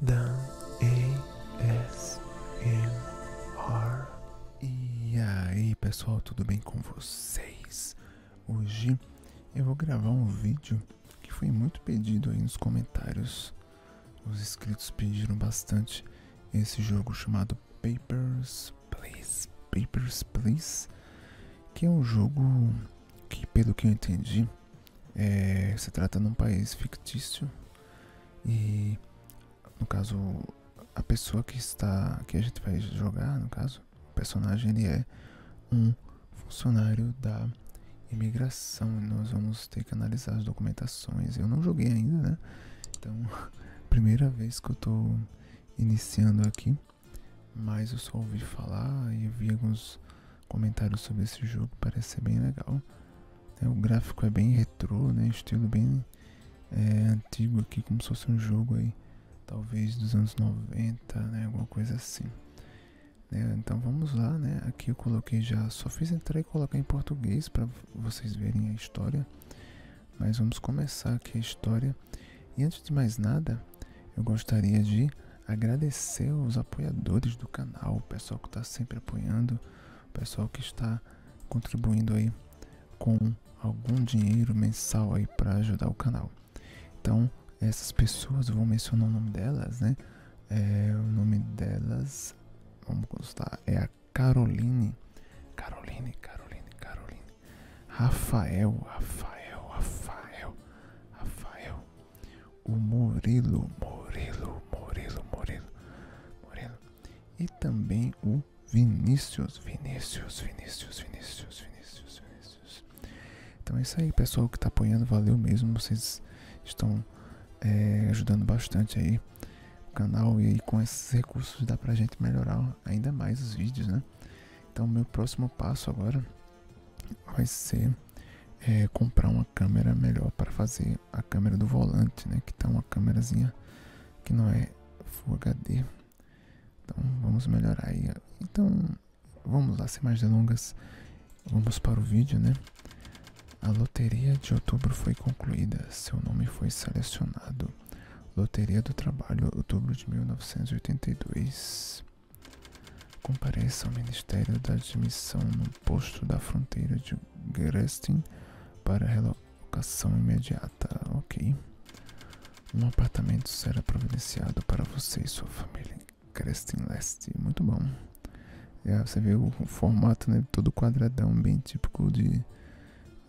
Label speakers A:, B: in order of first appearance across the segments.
A: Dan A S R E aí pessoal, tudo bem com vocês? Hoje eu vou gravar um vídeo que foi muito pedido aí nos comentários. Os inscritos pediram bastante esse jogo chamado Papers, Please. Papers, Please, que é um jogo que, pelo que eu entendi, é, se trata de um país fictício e, no caso, a pessoa que está, que a gente vai jogar, no caso, o personagem ele é um funcionário da imigração. e Nós vamos ter que analisar as documentações. Eu não joguei ainda, né? Então, primeira vez que eu estou iniciando aqui, mas eu só ouvi falar e vi alguns comentários sobre esse jogo, parece ser bem legal. Né, o gráfico é bem retrô, né? estilo bem é, antigo aqui, como se fosse um jogo aí, talvez dos anos 90, né? alguma coisa assim. Né, então vamos lá, né? aqui eu coloquei já, só fiz entrar e colocar em português para vocês verem a história. Mas vamos começar aqui a história. E antes de mais nada, eu gostaria de agradecer os apoiadores do canal, o pessoal que está sempre apoiando, o pessoal que está contribuindo aí com algum dinheiro mensal aí para ajudar o canal. Então, essas pessoas, vou mencionar o nome delas, né? É, o nome delas, vamos constar, é a Caroline, Caroline, Caroline, Caroline, Rafael, Rafael, Rafael, Rafael, o Murilo, Murilo, Murilo, Murilo, Murilo. E também o Vinícius, Vinícius, Vinícius, Vinícius, Vinícius, Vinícius. Então é isso aí, pessoal que tá apoiando, valeu mesmo. Vocês estão é, ajudando bastante aí o canal e aí com esses recursos dá pra gente melhorar ainda mais os vídeos, né? Então meu próximo passo agora vai ser é, comprar uma câmera melhor para fazer a câmera do volante, né? Que tá uma câmerazinha que não é Full HD. Então vamos melhorar aí. Então vamos lá, sem mais delongas, vamos para o vídeo, né? A loteria de outubro foi concluída, seu nome foi selecionado. Loteria do Trabalho, outubro de 1982 compareça ao Ministério da Admissão no posto da fronteira de Grestin para a relocação imediata, ok? Um apartamento será providenciado para você e sua família em Grestin Leste. Muito bom. Já é, você vê o formato né, todo quadradão, bem típico de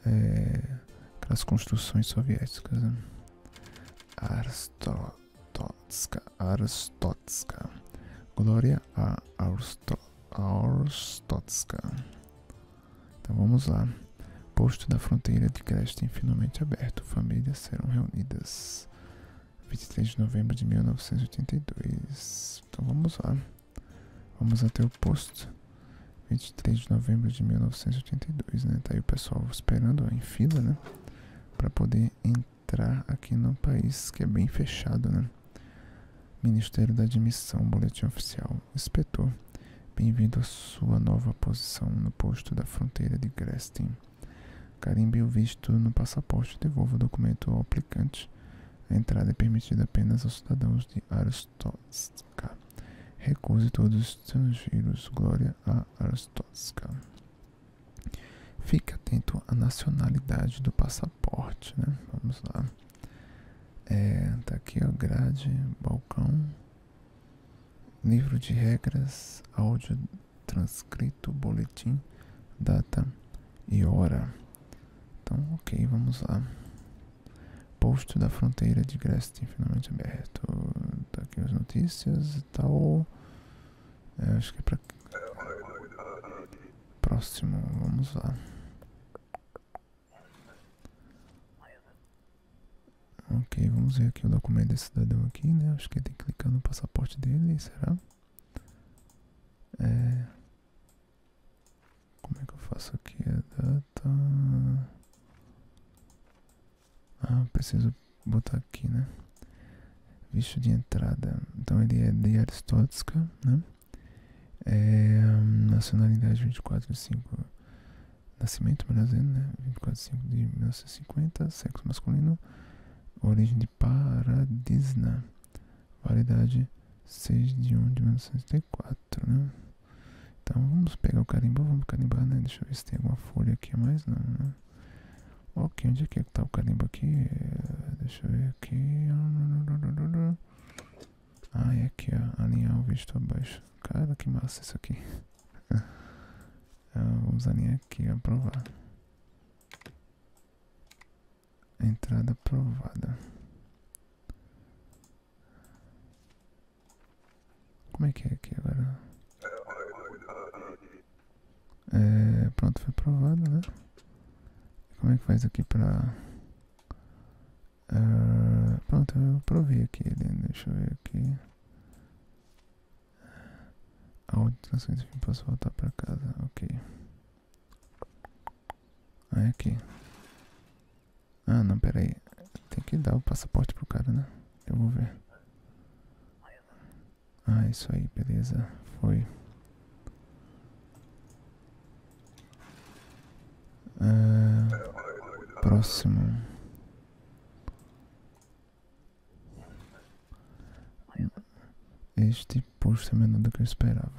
A: é, aquelas construções soviéticas. Né? Arstototska Arstotska. Glória a Arsto Então vamos lá. Posto da fronteira de Creston finalmente aberto. Famílias serão reunidas. 23 de novembro de 1982. Então vamos lá. Vamos até o posto. 23 de novembro de 1982, né? Tá aí o pessoal esperando ó, em fila, né? Para poder entrar entrar aqui no país, que é bem fechado, né? Ministério da Admissão, Boletim Oficial. Inspetor, bem-vindo à sua nova posição no posto da fronteira de Grestin. Carimbe o visto no passaporte. Devolva o documento ao aplicante. A entrada é permitida apenas aos cidadãos de Arostotska. Recuse todos os estrangeiros. Glória a Arostotska. Fique atento à nacionalidade do passaporte, né? Vamos lá. É, tá aqui, a grade, balcão. Livro de regras, áudio transcrito, boletim, data e hora. Então, ok, vamos lá. Posto da fronteira de Grestin, finalmente aberto. Tá aqui as notícias e tal. Eu é, acho que é para Próximo, vamos lá. Ok, vamos ver aqui o documento desse cidadão aqui, né? Acho que tem que clicar no passaporte dele, será? É. Como é que eu faço aqui a data? Ah, preciso Vou botar aqui, né? Visto de entrada. Então ele é de Aristótica, né? É, nacionalidade 24 de 5. Nascimento brasileiro, né? 24 de 5 de 1950. Sexo masculino. Origem de Paradisna. Validade 6 de 1 de 1964 né? Então vamos pegar o carimbo, vamos carimbar, né? Deixa eu ver se tem alguma folha aqui mais, não, né? Ok, onde é, é que tá o carimbo aqui? É, deixa eu ver aqui. Ah, é aqui, ó. Alinhar o visto abaixo. Cara, que massa isso aqui. Ah, vamos alinhar aqui, aprovar. Entrada aprovada. Como é que é aqui agora? É, pronto, foi aprovado, né? Como é que faz aqui pra... Ah, pronto, eu aprovei aqui, ele deixa eu ver aqui. A audição enfim, posso voltar pra casa, ok. Aí ah, aqui. Ah, não, pera aí. Tem que dar o passaporte pro cara, né? Eu vou ver. Ah, isso aí, beleza. Foi. Ah, próximo. Este posto é menor do que eu esperava.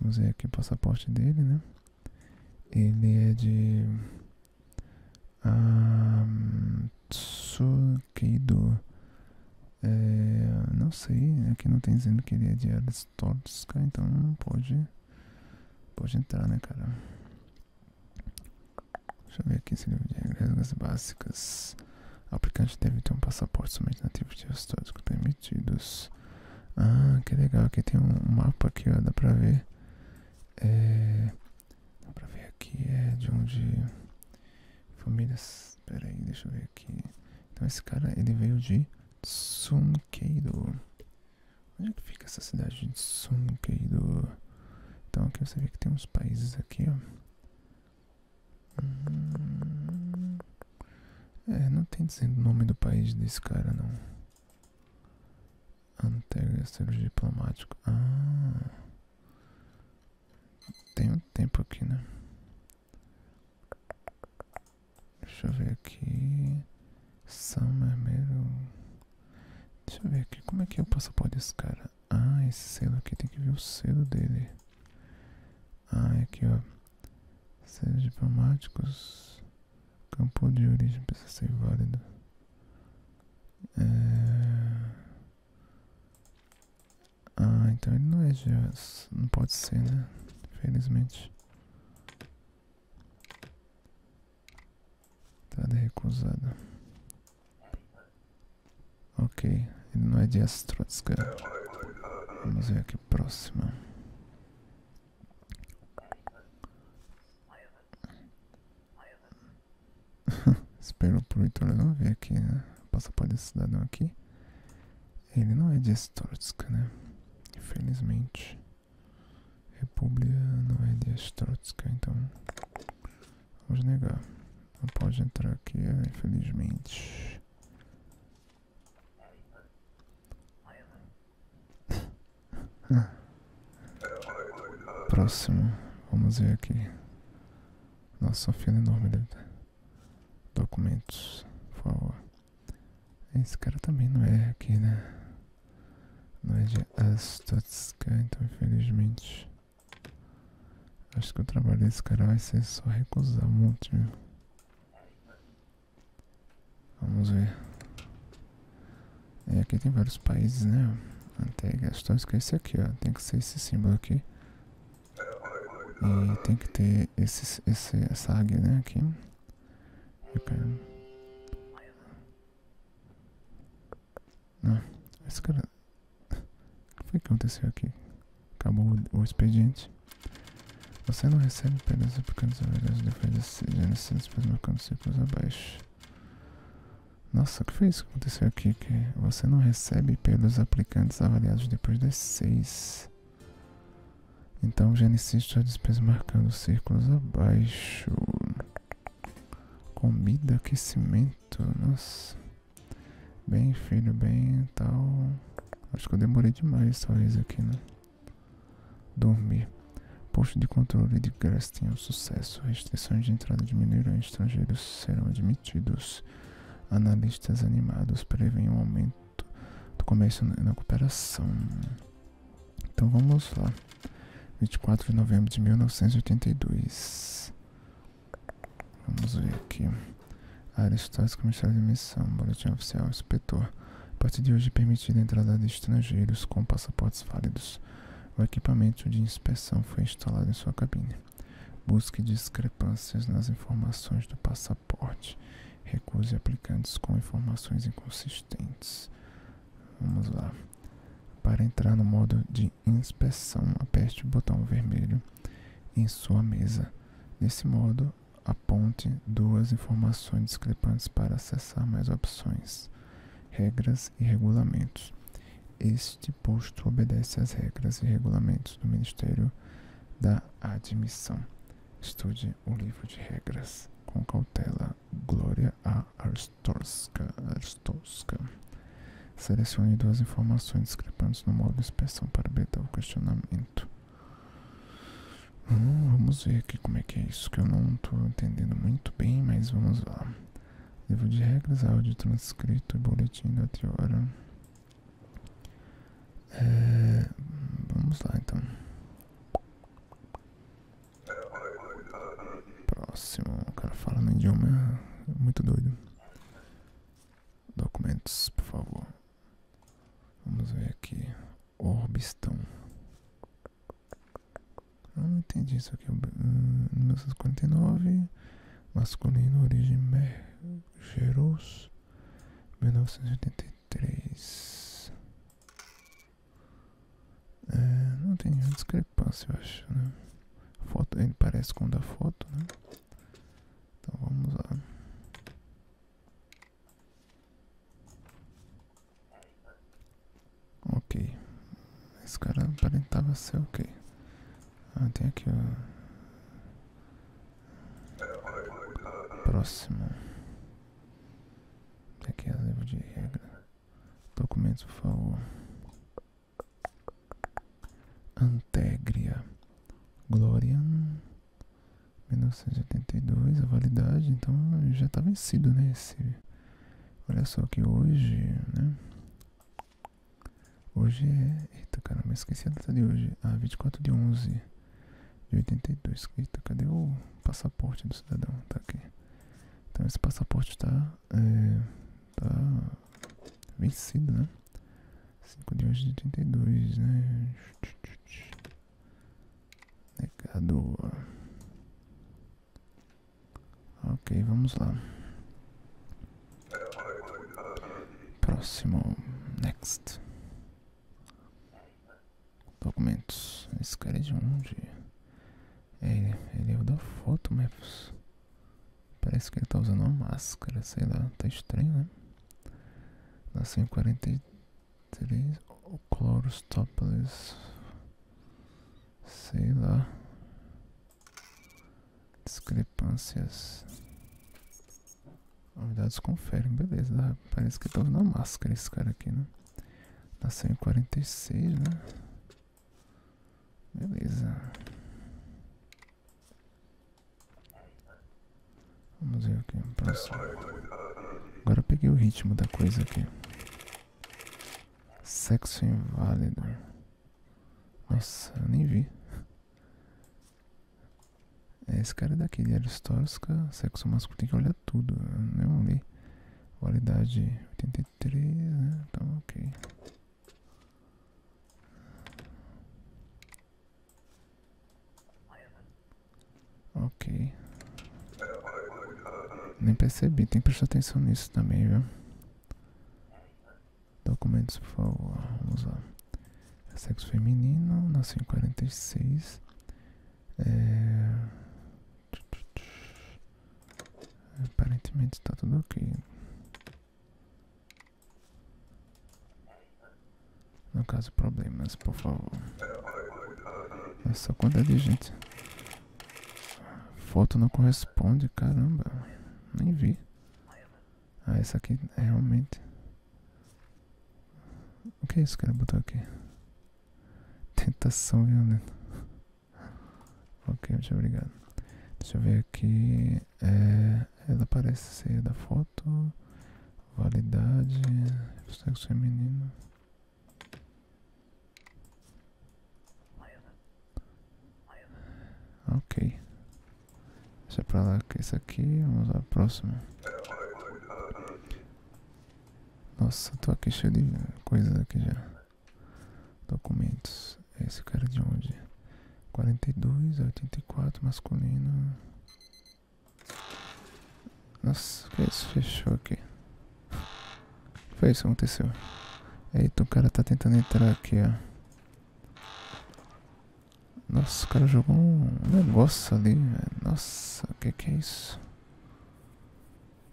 A: Vamos ver aqui o passaporte dele, né? Ele é de um, Tsukeido. É, não sei, aqui não tem dizendo que ele é de Aristóteles, então pode. Pode entrar, né, cara? Deixa eu ver aqui esse livro é de regras básicas. O aplicante deve ter um passaporte somente nativo de históricos permitidos. Ah, que legal, aqui tem um mapa aqui, dá pra ver. É, Dá pra ver aqui, é de onde. Famílias. Pera aí, deixa eu ver aqui. Então esse cara, ele veio de Tsunkeido. Onde é que fica essa cidade de Tsunkeido? Então aqui você vê que tem uns países aqui, ó. Hum. É, não tem dizendo o nome do país desse cara, não. Antega, serviço diplomático. Ah. Tem um tempo aqui, né? Deixa eu ver aqui. São Mermeiro. Deixa eu ver aqui. Como é que é o passaporte desse cara? Ah, esse selo aqui tem que ver o selo dele. Ah, é aqui ó. Selos diplomáticos. Campo de origem precisa ser válido. É. Ah, então ele não é GS. Não pode ser, né? Infelizmente. Entrada recusada. Ok, ele não é de Astrotska. Vamos ver aqui próxima. Espero por Vitor não ver aqui, né? Passaporte desse cidadão aqui. Ele não é de Estortsk, né? Infelizmente. República não é de Estortsk, então. Vamos negar. Não pode entrar aqui, é, infelizmente. Próximo. Vamos ver aqui. Nossa, uma enorme deve Documentos, por favor. Esse cara também não é aqui, né? Não é de Astotska, então infelizmente. Acho que o trabalho desse cara vai ser só recusar um monte. Viu? Vamos ver. E é, aqui tem vários países, né? Até gastões que é esse aqui, ó. Tem que ser esse símbolo aqui. E tem que ter esse, esse, essa águia, né, aqui. Quero... O que aconteceu aqui? Acabou o, expediente. Você não recebe pedras aplicados a verdade depois de genocídios pelo mercado ciclos abaixo. Nossa, o que foi isso que aconteceu aqui? Que você não recebe pelos aplicantes avaliados depois das seis. Então já insisto sua despesa marcando círculos abaixo. Comida, aquecimento, nossa. Bem, filho, bem tal. Acho que eu demorei demais talvez aqui, né? Dormir. Posto de controle de Grestin, sucesso. Restrições de entrada diminuíram. Estrangeiros serão admitidos. Analistas animados preveem um aumento do comércio na cooperação. Então vamos lá. 24 de novembro de 1982. Vamos ver aqui. Áreas estatais comerciais de missão. Boletim oficial. Inspetor. A partir de hoje permitida a entrada de estrangeiros com passaportes válidos o equipamento de inspeção foi instalado em sua cabine. Busque discrepâncias nas informações do passaporte. Recuse aplicantes com informações inconsistentes. Vamos lá. Para entrar no modo de inspeção, aperte o botão vermelho em sua mesa. Nesse modo, aponte duas informações discrepantes para acessar mais opções, regras e regulamentos. Este posto obedece às regras e regulamentos do Ministério da Admissão. Estude o livro de regras com cautela. Glória a Arstorska. Arstorska. Selecione duas informações discrepantes no modo de expressão para betar o questionamento. Hum, vamos ver aqui como é que é isso, que eu não estou entendendo muito bem, mas vamos lá. Livro de regras, áudio transcrito e boletim da Triora. É, vamos lá então. Próximo, o cara fala no idioma muito doido. Documentos, por favor. Vamos ver aqui. Orbistão. Eu não entendi isso aqui. 1949, hum, masculino, origem Gerus, 1983. É, não tem nenhuma discrepância, eu acho, né? Foto, ele parece com o da foto, né? Então vamos lá. Ok. Esse cara aparentava ser ok. Ah, tem aqui o... Próximo. Tem aqui a livro de regra. Documento, por favor. Antegria. Glorian. 1982, a validade, então já está vencido, né? Esse... Olha só que hoje, né? Hoje é. Eita, caramba, esqueci a data de hoje. Ah, 24 de 11 de 82. Eita, cadê o passaporte do cidadão? Tá aqui. Então, esse passaporte tá. É, tá. vencido, né? 5 de 11 de 82, né? Negado. Ok, vamos lá. Próximo, next. Documentos. Esse cara é de onde? É, ele é o da foto, mas Parece que ele tá usando uma máscara, sei lá, tá estranho, né? Nasceu em 43, Cloristópolis, sei lá, Discrepâncias. Novidades conferem, beleza. Né? Parece que tava na máscara esse cara aqui, né? Nasceu em 46, né? Beleza. Vamos ver aqui. Próximo. Agora eu peguei o ritmo da coisa aqui. Sexo inválido. Nossa, eu nem vi. É esse cara é daqui, Diários é Tosca, sexo masculino, tem que olhar tudo. Eu não li. Qualidade 83, né? Então, ok. Ok. Nem percebi, tem que prestar atenção nisso também, viu? Documentos, por favor. Vamos lá. É sexo feminino, nasceu em 46. É... Aparentemente está tudo ok. No caso, problemas, por favor. É só quanta é de gente. Foto não corresponde, caramba. Nem vi. Ah, essa aqui é realmente. O que é isso que ele botar aqui? Tentação violenta. ok, muito obrigado. Deixa eu ver aqui. É, ela parece ser da foto. Validade. É Sexo feminino. Ok. Essa é pra lá, é essa aqui. Vamos à próxima. Nossa, tô aqui cheio de coisas aqui já. Documentos. É esse cara de onde? 42, 84, masculino. Nossa, que é isso? Fechou aqui. Foi isso que aconteceu. Eita, o cara tá tentando entrar aqui, ó. Nossa, o cara jogou um negócio ali, velho. Nossa, o que que é isso?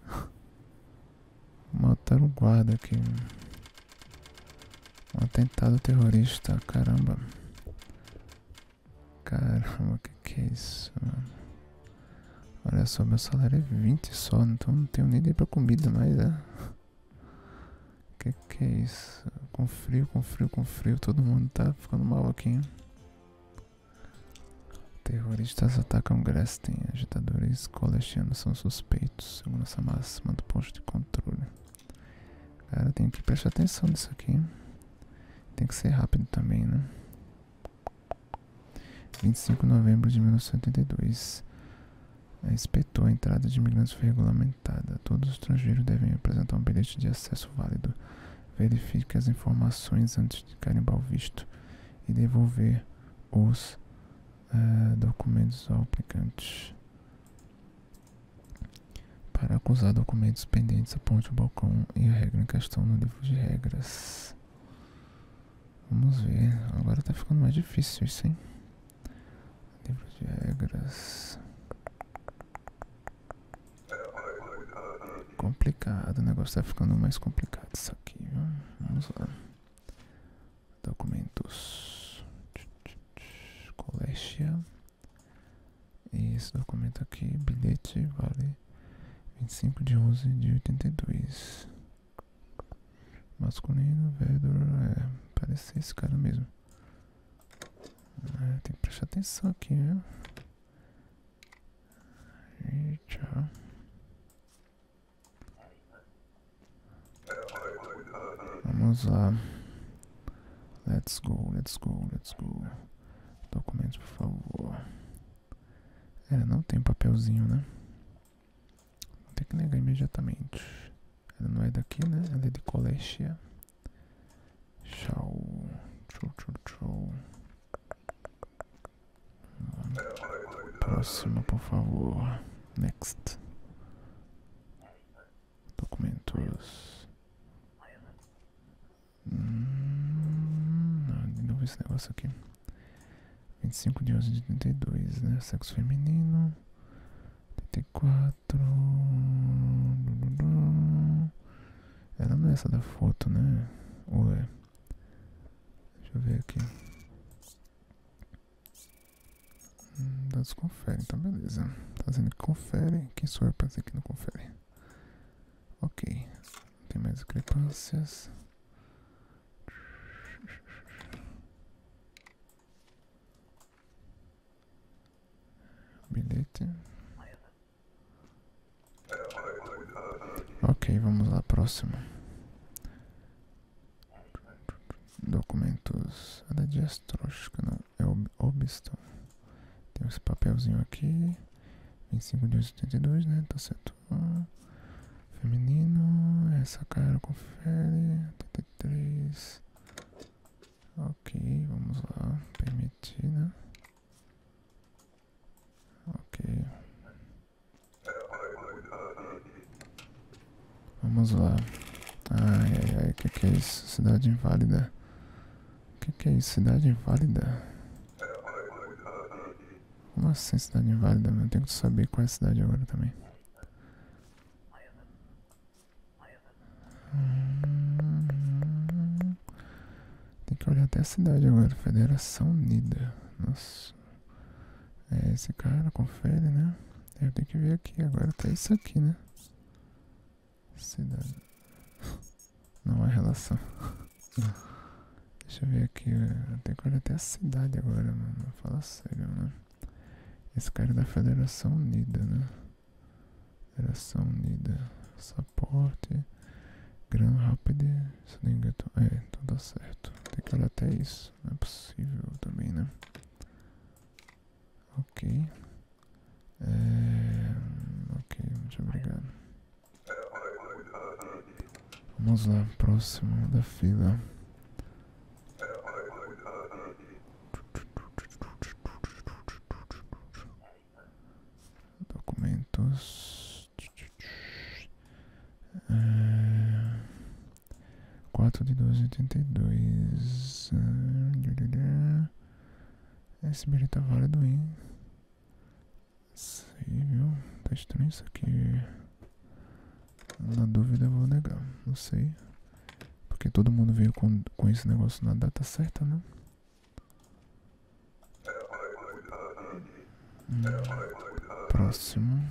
A: Mataram o guarda aqui. Um atentado terrorista, caramba. Caramba, o que que é isso, mano? Olha só, meu salário é 20 só, então não tenho nem dinheiro pra comida mais, é. O que é isso? Com frio, com frio, com frio, todo mundo tá ficando mal aqui, hein? Terroristas atacam Grestin, agitadores colestianos são suspeitos, segundo essa máxima do posto de controle. Cara, tem que prestar atenção nisso aqui. Tem que ser rápido também, né? 25 de novembro de 1982. A Espetou a entrada de imigrantes foi regulamentada. Todos os estrangeiros devem apresentar um bilhete de acesso válido. Verifique as informações antes de carimbar o visto e devolver os eh, documentos ao aplicante. Para acusar documentos pendentes, aponte o balcão e a regra em questão no livro de regras. Vamos ver. Agora tá ficando mais difícil isso, hein? Livro de regras. Complicado, negócio tá ficando mais complicado isso aqui, Vamos lá. Documentos. Colégio. E esse documento aqui, bilhete, vale 25 de 11 de 82. Masculino, Vedor, é, parece esse cara mesmo. É, tem que prestar atenção aqui, viu? tchau. Vamos lá. Let's go, let's go, let's go. Documentos, por favor. É, não tem papelzinho, né? Vou ter que negar imediatamente. Ela não é daqui, né? Ela é de Colestia. Tchau. Tchau, tchau, tchau. Próximo, por favor. Next. Documentos. Hum, não, de novo esse negócio aqui. 25 de 11 de 82, né? Sexo feminino. 84. Ela não é essa da foto, né? Ou é? Deixa eu ver aqui. Hum, dados conferem, tá beleza. fazendo tá que confere. Quem sou eu pra dizer que não confere? Ok. Não tem mais discrepâncias. Bilhete. Ok, vamos lá, próximo. Documentos. É da Diastro, acho que não. É ob Obston. Tem esse papelzinho aqui. Em 25 de dois, né? Tá certo. Feminino, essa cara confere. 83. Ok, vamos lá. Permitir, né? Ok. Vamos lá. Ai, ai, ai, que, que é isso? Cidade inválida. que, que é isso? Cidade inválida. Nossa cidade inválida? É eu tenho que saber qual é a cidade agora também. tem que olhar até a cidade agora. Federação Unida. Nossa. É esse cara, confere, né? Eu tenho que ver aqui agora. Tá isso aqui, né? Cidade. Não é relação. Deixa eu ver aqui, eu tenho que olhar até a cidade agora, mano. Fala sério, né? Esse cara é da Federação Unida, né? Federação Unida. Passaporte. Gran Rapid. Se não engano. É, tudo então certo. Tem que olhar até isso. Não é possível também, né? Ok. É, ok, muito obrigado. Vamos lá, próximo da fila. Documentos. É, quatro de e 4 e dois. Esse bilhete tá válido, hein? Sei, viu? Tá estranho isso aqui. Na dúvida eu vou negar, não sei. Porque todo mundo veio com, com esse negócio na data certa, né? Próximo.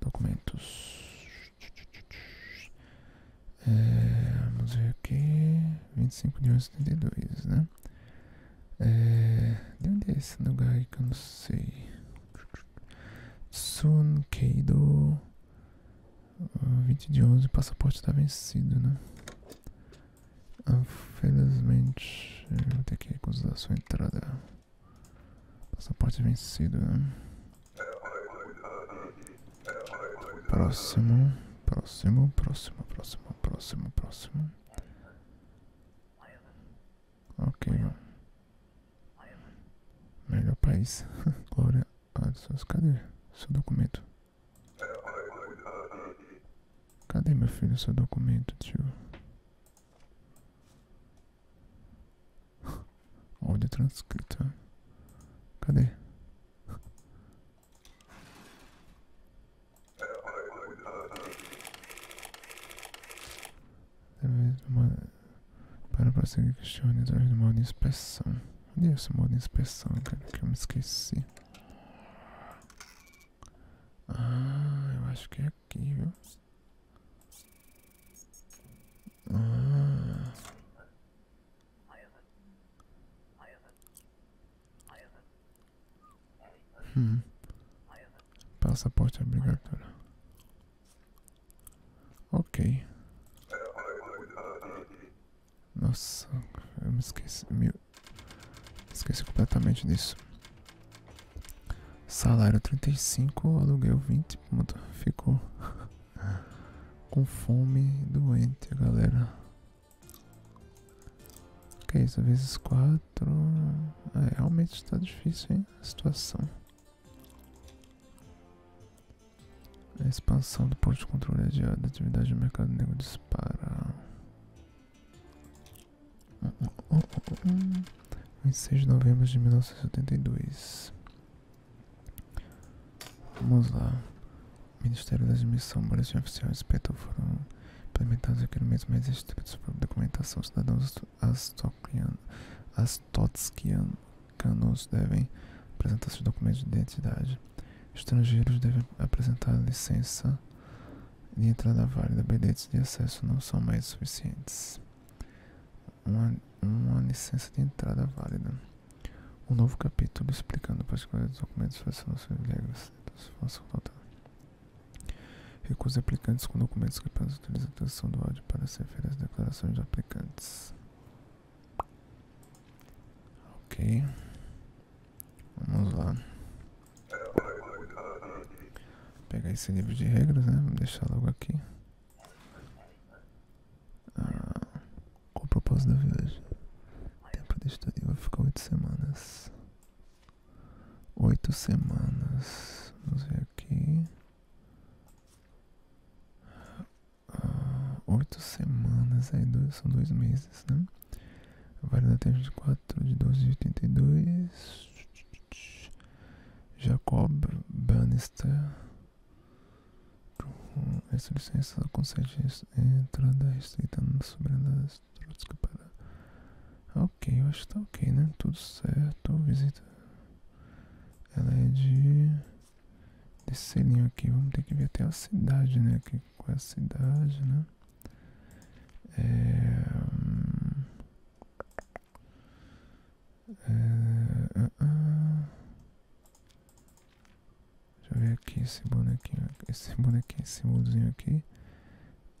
A: Documentos. É, vamos ver aqui. 25 de 11 32, né? É, de onde é esse lugar aí que eu não sei? Sun Keido 20 de 11, passaporte está vencido, né? Infelizmente, ah, vou ter que recusar a sua entrada. Passaporte vencido, né? Próximo, próximo, próximo, próximo próximo, próximo, Ok. Melhor país. Glória a Cadê seu documento? Cadê, meu filho, seu documento, tio? Olha transcrita. Cadê? deve ser Para prosseguir questione através do modo de inspeção. Onde é esse modo de inspeção, cara? Que eu me esqueci. Ah, eu acho que é aqui, viu? Ah. Hum. Passaporte obrigatório. Ok. Nossa, eu me esqueci. Me esqueci completamente disso. Salário 35, aluguel 20. Pronto, ficou. Com fome, doente, galera. Ok, isso vezes 4. É, realmente está difícil, hein? A situação. A expansão do posto de controle adiada. É a atividade do mercado negro dispara. Uh, uh, uh, 26 de novembro de 1972. Vamos lá. Ministério da Admissão, boletim oficial respeito foram implementados aqui no mês mais estritos tipo sobre documentação. Cidadãos astotskianos devem apresentar seus documentos de identidade. Estrangeiros devem apresentar licença de entrada válida. Bilhetes de acesso não são mais suficientes. Uma, uma licença de entrada válida. Um novo capítulo explicando particulares dos documentos, fascinações e regras dos facultados. Recusa aplicantes com documentos que apenas utilizam a tradução do áudio para ser feitas às declarações de aplicantes. Ok. Vamos lá. Vou pegar esse livro de regras, né? Vou deixar logo aqui. Ah, qual o propósito da viagem? Tempo de estadia vai ficar oito semanas. Oito semanas. Vamos ver aqui. Ah, oito semanas, aí dois, são dois meses, né? vale de 4 de 12 de 82. Jacob Bannister Hum, essa licença concede entrada restrita sobre as para. Ok, eu acho que tá ok, né? Tudo certo. Visita. Ela é de. Desse selinho aqui. Vamos ter que ver até a cidade, né? que qual é a cidade, né? É. Hum, é ah, ah. Deixa eu aqui esse bonequinho. Esse bonequinho, esse símbolozinho aqui.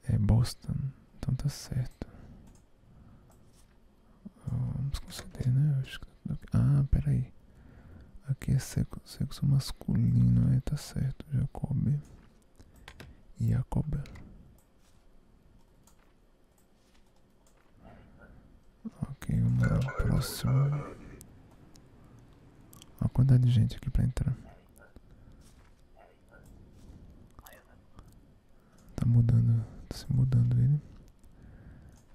A: É Boston. Então tá certo. Vamos conceder, né? Ah, peraí. Aqui é sexo, sexo masculino, é, tá certo. Jacob. Jacob. Ok, vamos lá. Próximo. Olha a quantidade de gente aqui para entrar. Tá mudando, tá se mudando ele.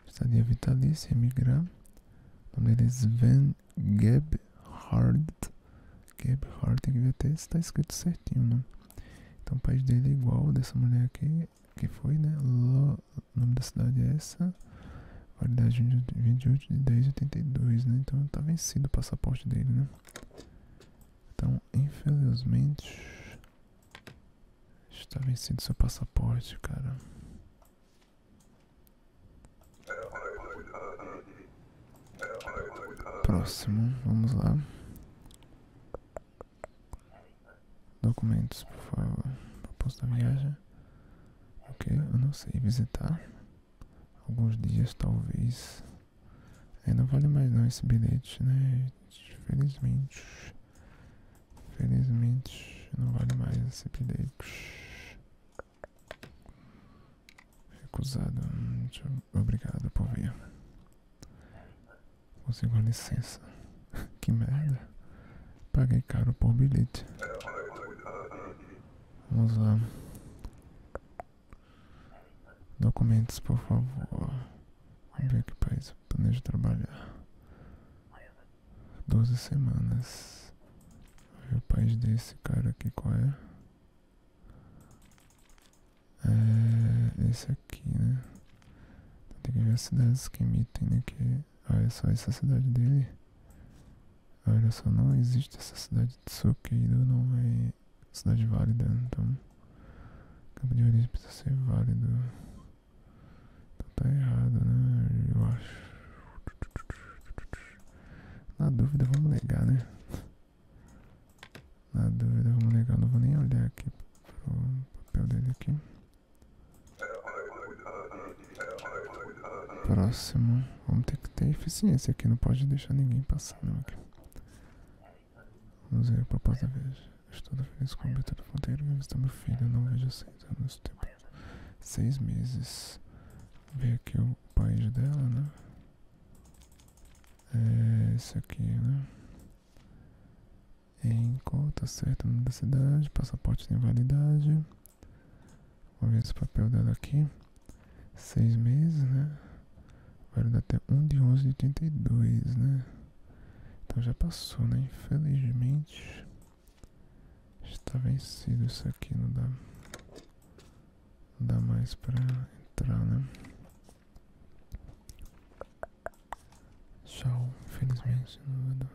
A: Estadia vitalícia, emigrar. O nome dele é Sven Gebhardt. Gebhardt tem que ver até se tá escrito certinho, né? Então o país dele é igual dessa mulher aqui, que foi, né? O nome da cidade é essa. Validade 28 de 10 de 82, né? Então tá vencido o passaporte dele, né? Então, infelizmente, está vencido seu passaporte, cara. Próximo, vamos lá. Documentos, por favor. Proposta da viagem. Ok, eu não sei visitar. Alguns dias talvez. É, não vale mais não esse bilhete, né? Felizmente. Felizmente não vale mais esse bilhete. Recusado. obrigado por vir. Consigo licença. que merda. Paguei caro por bilhete. Vamos lá. Documentos, por favor. Vamos é que país eu planejo trabalhar. 12 semanas. o país desse cara aqui, qual é? É. Esse aqui, né? Tem que ver as cidades que emitem, né? Que Olha só essa cidade dele. Olha só, não existe essa cidade de Tsukeido, não é cidade válida, então campo de origem precisa ser válido. Então tá errado, né? Eu acho. Na dúvida vamos negar, né? Na dúvida vamos negar, não vou nem olhar aqui o papel dele aqui. Próximo. Vamos ter que ter eficiência aqui. Não pode deixar ninguém passar, Aqui. Vamos ver a proposta da vez. Estou feliz com o Beto Fonteiro. Minha visita meu filho. Não vejo seis anos. Tempo. Seis meses. Ver aqui o país dela, né? É esse aqui, né? Em conta certa da cidade, passaporte tem validade. Vou ver esse papel dela aqui. Seis meses, né? Vai dar até 1 de 11 de 82, né? Então já passou, né? Infelizmente. Está vencido isso aqui, não dá. Não dá mais para entrar, né? Tchau, infelizmente não vai dar.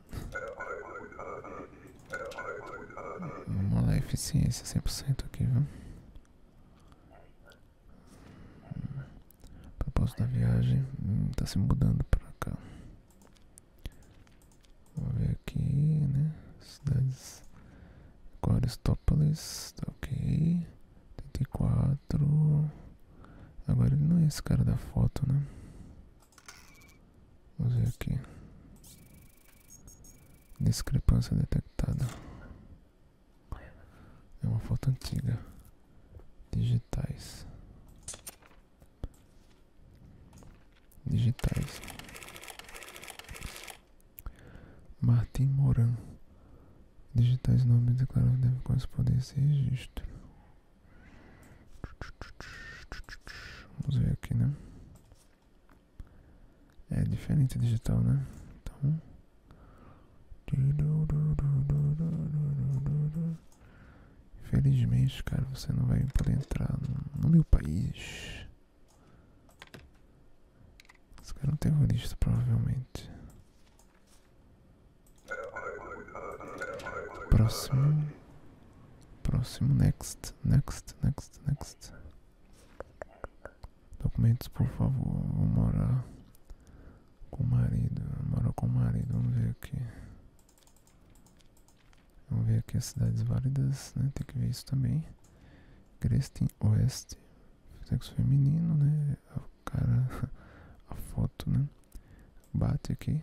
A: Vamos lá, eficiência 100% aqui, viu? Hum, propósito da viagem hum, tá se mudando para cá. Vamos ver aqui, né? Cidades. Coristópolis, tá ok. 34. Agora ele não é esse cara da foto, né? Vamos ver aqui. Discrepância detectada. É uma foto antiga. Digitais. Digitais. Martin Moran. Digitais nomes declarados deve corresponder a esse registro. Vamos ver aqui, né? É diferente digital, né? Então. Infelizmente, cara, você não vai poder entrar no, meu país. Esse cara é um terrorista, provavelmente. Próximo. Próximo, next, next, next, next. Documentos, por favor. Vou morar com o marido. morar com o marido. Vamos ver aqui. Vamos ver aqui as cidades válidas, né? Tem que ver isso também. Grestin Oeste. Sexo feminino, né? A é cara, a foto, né? Bate aqui.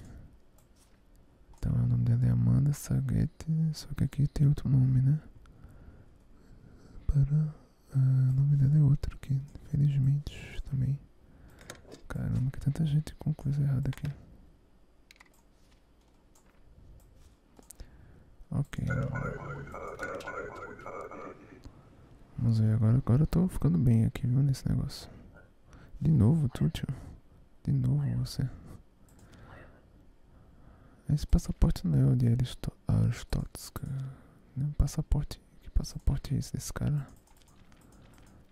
A: Então o nome dela é Amanda Saguete, só que aqui tem outro nome, né? Para. Ah, o uh, nome dela é outro aqui, felizmente também. Caramba, que tanta gente com coisa errada aqui. Ok. Vamos ver agora. Agora eu tô ficando bem aqui, viu, nesse negócio. De novo, Túlio? De novo você. Esse passaporte não é o de Aristó Não, é passaporte. Que passaporte é esse desse cara?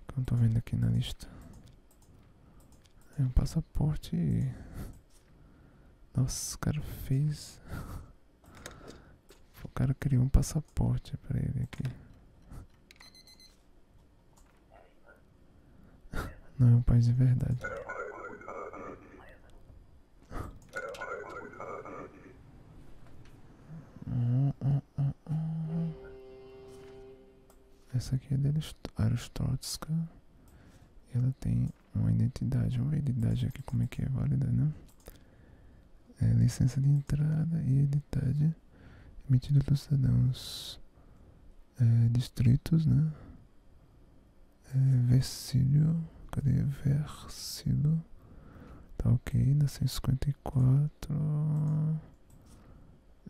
A: Que eu não estou vendo aqui na lista. É um passaporte. Nossa, o cara fez. O cara criou um passaporte para ele aqui. Não é um país de verdade. Essa aqui é de Aristotska. Ela tem uma identidade. uma ver aqui como é que é válida, né? É licença de entrada e identidade emitida pelos cidadãos é, distritos, né? É, cadê? Versilo, tá ok, na 154,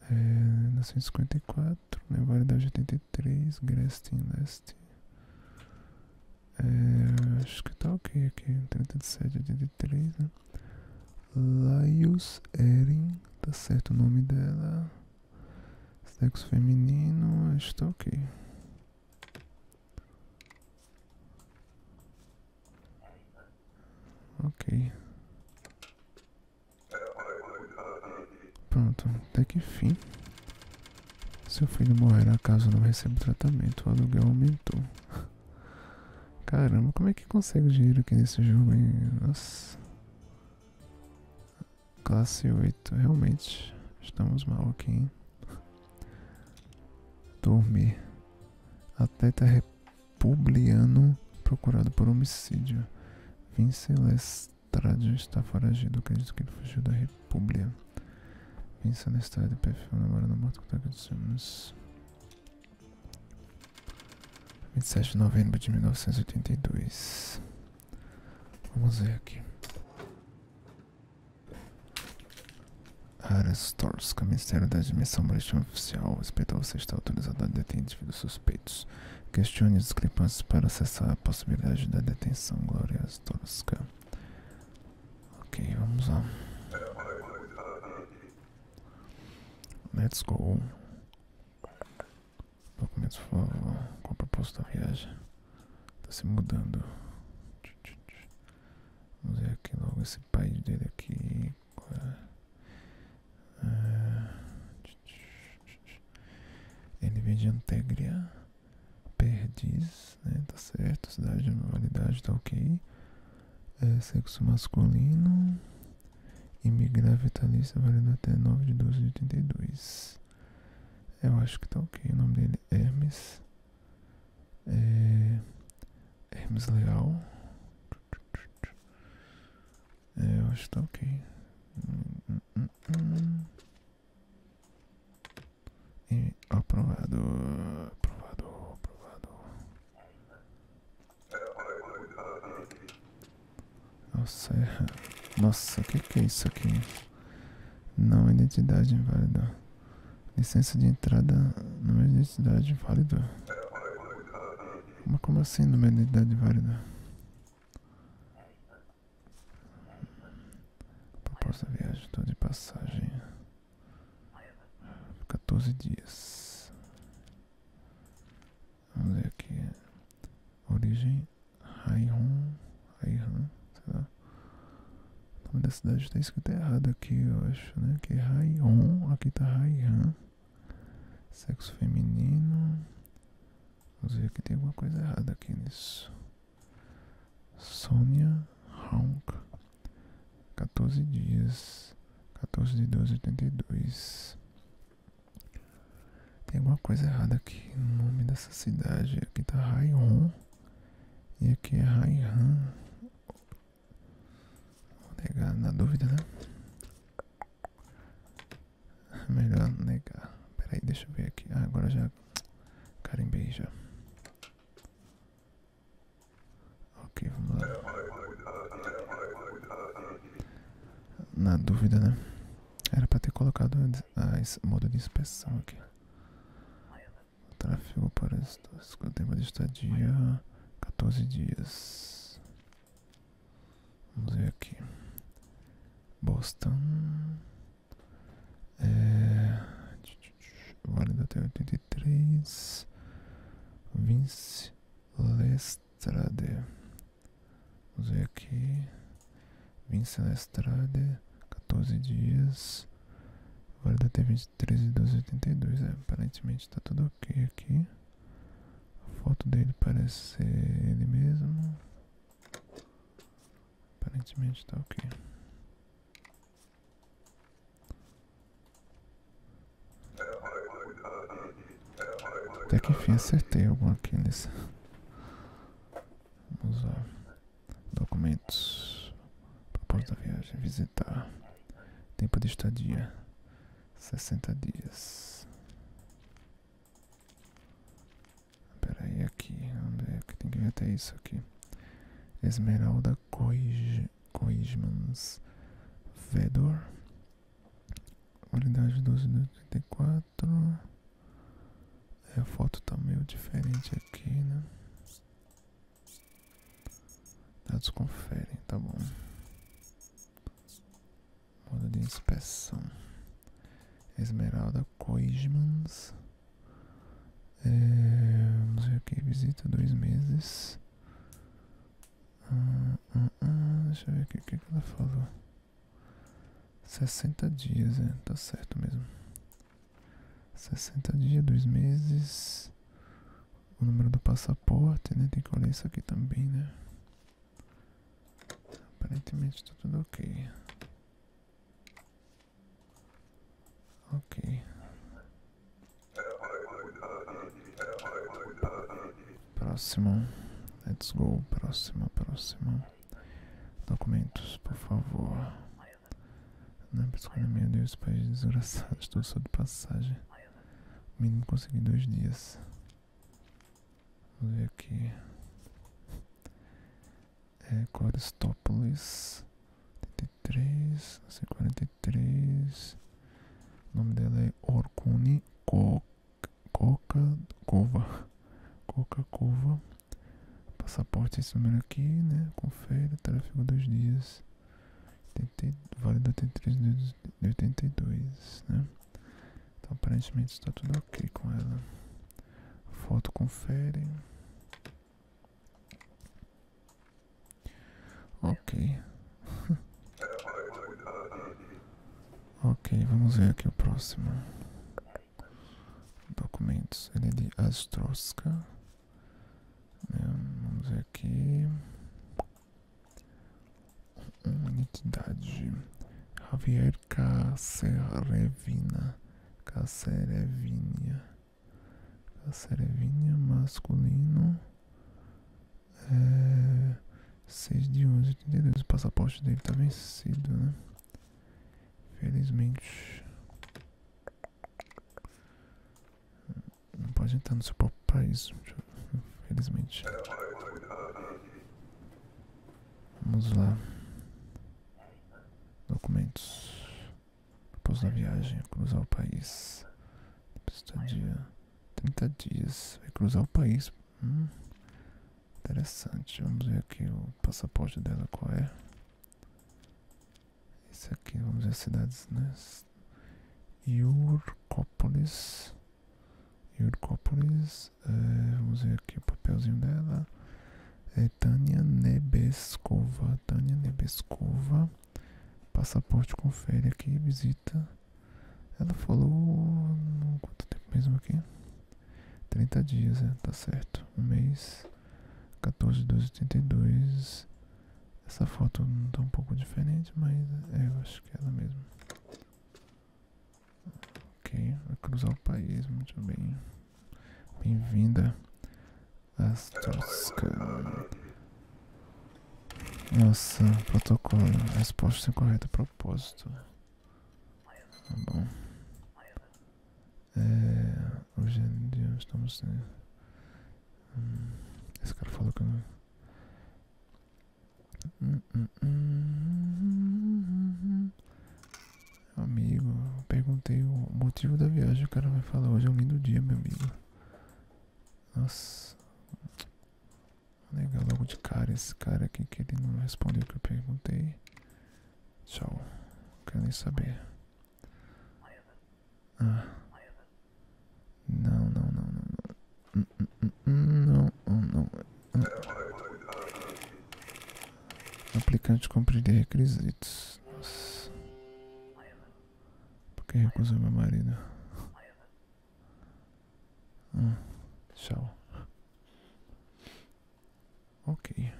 A: é, na 154, né? Validade 83, Grestin Leste. É, acho que tá ok aqui, 37, 83, né? Laius Eren, tá certo o nome dela. Sexo feminino, estou ok. Ok. Pronto, até que fim. Seu filho morrerá caso não receba tratamento. O aluguel aumentou. Caramba, como é que consegue dinheiro aqui nesse jogo, hein? Nossa. Classe 8, realmente estamos mal aqui, hein? Dormir. Atleta tá republicano procurado por homicídio. Vincent Lestrade está foragido. Acredito que ele fugiu da República. Vincent Lestrade, perfil namorado morto que está 27 de novembro de 1982. Vamos ver aqui. Aras Torska, Ministério da Admissão Marítima Oficial. O hospital você está autorizado a deter indivíduos suspeitos. Questione os discrepantes para acessar a possibilidade da detenção. Glória Torska. Ok, vamos lá. Let's go. Documentos favor, qual o propósito viagem. Tá se mudando. Vamos ver aqui logo esse pai dele aqui. Ah, Ele vem de Antegria. Perdiz, né? Tá certo. Cidade de validade, tá ok. É, sexo masculino. Imigrar vitalícia valendo até 9 de 12 de 82. Eu acho que tá ok. O nome dele é Hermes. É, Hermes Leal. É, eu acho que tá ok. aprovado. Aprovado, aprovado. Nossa, erra. É Nossa, o que, é isso aqui? Não, identidade inválida. Licença de entrada, número de é identidade válido. Mas como assim número de é identidade válida? Proposta viagem, estou de passagem. 14 dias. Vamos ver aqui. Origem Raihon. Raihon, sei lá. O nome da cidade está escrito errado aqui, eu acho, né? Que é aqui está Raihan. Sexo feminino. Vamos ver que tem alguma coisa errada aqui nisso. Sonia Honk. 14 dias, 14 de 12, 82. Tem alguma coisa errada aqui no nome dessa cidade. Aqui tá Raihon e aqui é Raihan. Vou negar na dúvida, né? Melhor negar. Peraí, deixa eu ver aqui. Ah, agora já carimbei já. Ok, vamos lá. Na dúvida, né? Era pra ter colocado a ah, esse modo de inspeção aqui. Tráfego para o tempo de estadia 14 dias. Vamos ver aqui. Boston. É... Válido até 83. Vince. Lestrade. Vamos ver aqui. Vincent Lestrade, 14 dias. Válida T23 1282. É, aparentemente está tudo ok aqui. A foto dele parece ser ele mesmo. Aparentemente está ok. Até que enfim acertei algum aqui nesse. Vamos lá. Documentos. proposta da viagem. Visitar. Tempo de estadia. 60 dias. Peraí aqui. Vamos ver que tem que ver até isso aqui. Esmeralda Coige. Koismans Vedor, qualidade 12 do 34. A foto tá meio diferente aqui, né? Tá, Dados conferem, tá bom. Modo de inspeção. Esmeralda Koismans. É, não sei visita dois meses. Ah, ah, ah, deixa eu ver o que, que ela falou. 60 dias, é, tá certo mesmo. 60 dias, dois meses. O número do passaporte, né? Tem que olhar isso aqui também, né? Aparentemente tá tudo ok. Ok. Próximo. Let's go. Próximo, próximo. Documentos, por favor. Na é psiconomia de os países desgraçados. Estou só de passagem. O menino consegui dois dias. Vamos ver aqui. É Coristópolis. 43, não sei, 43. 23. O nome dela é Orkuni Coca-Cova. Coca-Cova. Passaporte esse número aqui, né? Confere, tráfego dos dias. 80, válido até 3 82, né? Então aparentemente está tudo ok com ela. Foto confere. Ok. ok, vamos ver aqui o próximo. documento. Ele é de Astroska. Né, vamos ver aqui. Uma entidade. Javier Cacerevina. Cacerevinha. Cacerevinha masculino. É, 6 de 11, 82. O passaporte dele está vencido, né? Felizmente. Não pode entrar no seu próprio país. Felizmente. Vamos lá. Documentos. Após a viagem, cruzar o país. Depois estadia 30 dias. Vai cruzar o país. Hum? interessante. Vamos ver aqui o passaporte dela qual é. Esse aqui, vamos ver cidades, né? Iurcópolis. Iurcópolis. É, vamos ver aqui o papelzinho dela. É Tânia Nebeskova. Tânia Nebeskova. Passaporte confere aqui, visita. Ela falou. Hum, quanto tempo mesmo aqui? 30 dias, é, tá certo. Um mês. 14, 12, 82. Essa foto não tá um pouco diferente, mas é, eu acho que é ela mesmo. Ok, vai cruzar o país, muito bem. Bem-vinda Astroscan. Nossa, protocolo. Resposta correta, propósito. Tá bom. É, hoje em dia estamos. Né? Hum, esse cara falou que não. Hum, hum, hum, hum amigo, perguntei o motivo da viagem. O cara vai falar: hoje é um lindo dia, meu amigo. Nossa. Vou negar logo de cara esse cara aqui que ele não respondeu o que eu perguntei. Tchau. Não quero nem saber. Ah. Não, não, não, não. Não, hum, hum, hum, não, não. Aplicante cumprir requisitos. Nossa. Por é que recusou meu marido? Hum, tchau. Ok.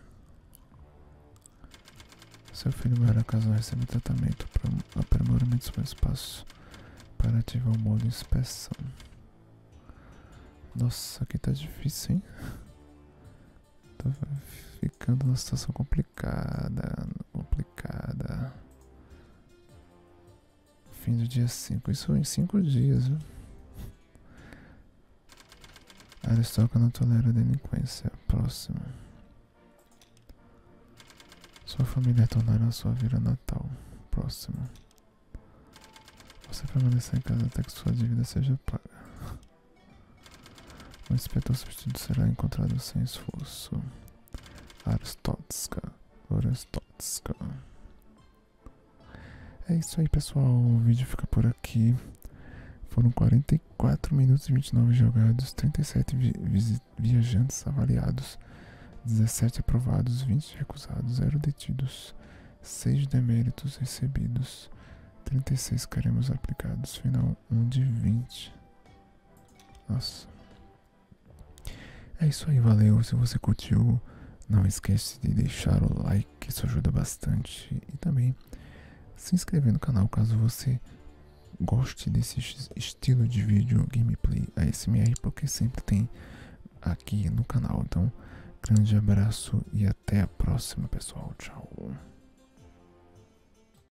A: Seu filho maior casal recebe tratamento para aprimoramento sobre espaço para ativar o modo inspeção. Nossa, aqui está difícil, hein? Tô ficando numa situação complicada aplicada. Fim do dia 5. Isso em 5 dias, viu? Aristoca não tolera delinquência. Próximo. Sua família tornará a sua vida natal. Próximo. Você permanecerá em casa até que sua dívida seja paga. O inspetor substituto será encontrado sem esforço. Arstotska, Arstotska. É isso aí, pessoal. O vídeo fica por aqui. Foram 44 minutos e 29 jogados, 37 viajantes avaliados, 17 aprovados, 20 recusados, 0 detidos, 6 deméritos recebidos, 36 queremos aplicados, final 1 de 20. Nossa. É isso aí, valeu. Se você curtiu, não esquece de deixar o like, isso ajuda bastante. E também se inscrever no canal caso você goste desse estilo de vídeo gameplay ASMR, porque sempre tem aqui no canal. Então, grande abraço e até a próxima, pessoal. Tchau.